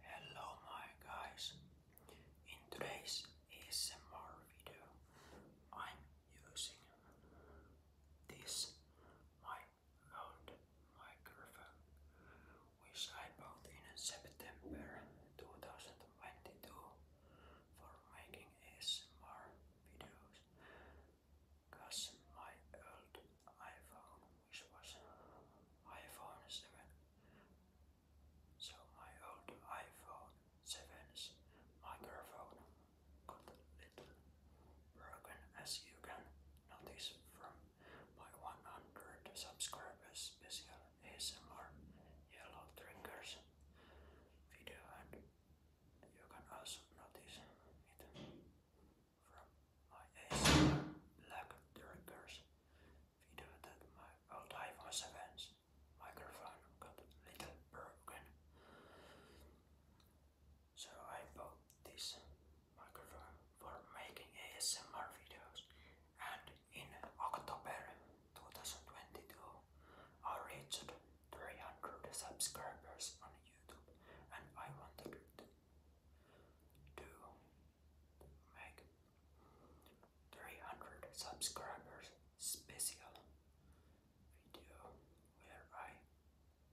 Hello my guys, in today's ASMR video I'm using this my old microphone which I bought in September 2022 for making ASMR videos because my old iPhone, which was iPhone 7, so my old iPhone 7's microphone got little broken as you can notice from my 100 subscribers special ASMR yellow triggers video and you can also notice it from my ASMR black triggers video that my old iPhone 7's microphone got a little broken. So I bought this microphone for making ASMR videos and in October 2022, I reached 300 subscribers on YouTube, and I wanted to make 300 subscribers special video where I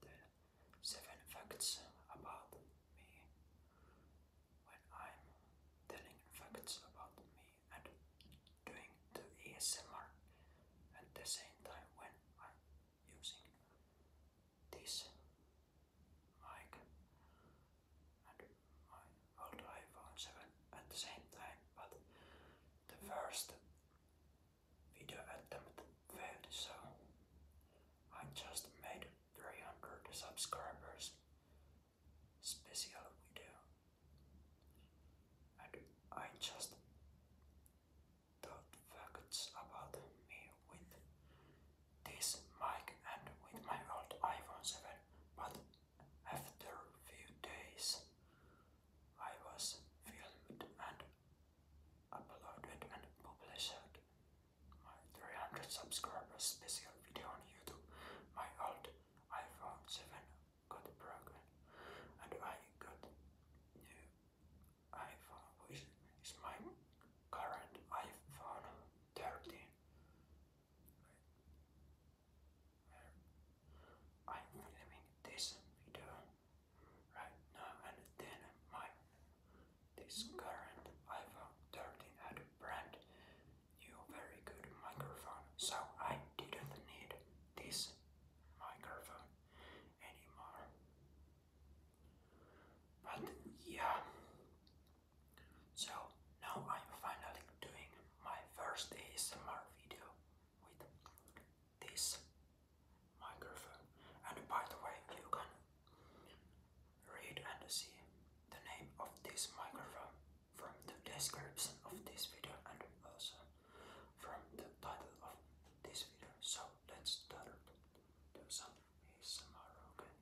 tell seven facts about me when I'm telling facts about me and doing the ASMR at the same time when I'm using this mic and my old iPhone 7 at the same time, but the first video attempt failed, so I just made 300 subscribers special video and I just thought about me with this mic and with my old iPhone 7 but after few days I was filmed and uploaded and published my 300 subscribers special video on YouTube. My old iPhone 7 got broken and I got new iPhone which is my current iPhone 13. I'm filming this video right now and then my this current iPhone 13 had a brand new very good microphone, so I didn't need this microphone anymore. But yeah, so now I'm finally doing my first ASMR video with this microphone. And by the way, you can Read and see the name of this microphone from the description of this video and also from the title of this video. So let's start. Do some okay?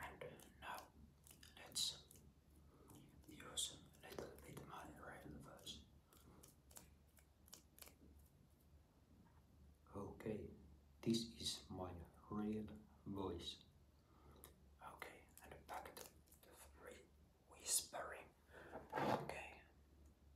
And now let's use a little bit my rail first. Okay, this is my real voice. Okay, and back to the whispering. Okay,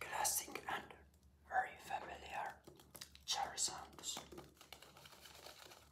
Classic and very familiar cherry sounds.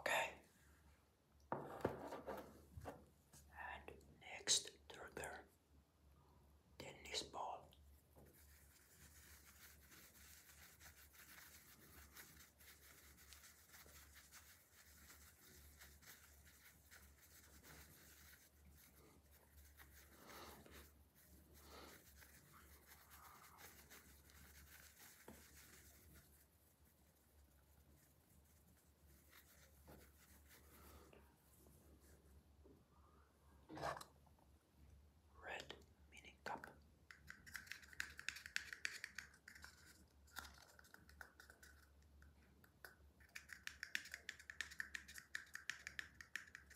Okay. And next trigger, tennis ball. Red meaning cup.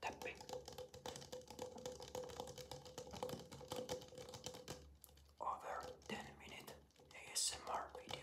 tapping over 10 minute ASMR video.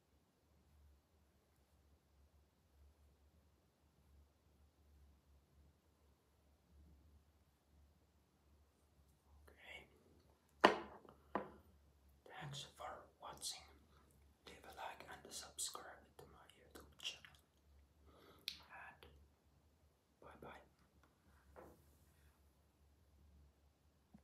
Okay. Thanks for watching. Leave a like and subscribe to my YouTube channel. And bye bye.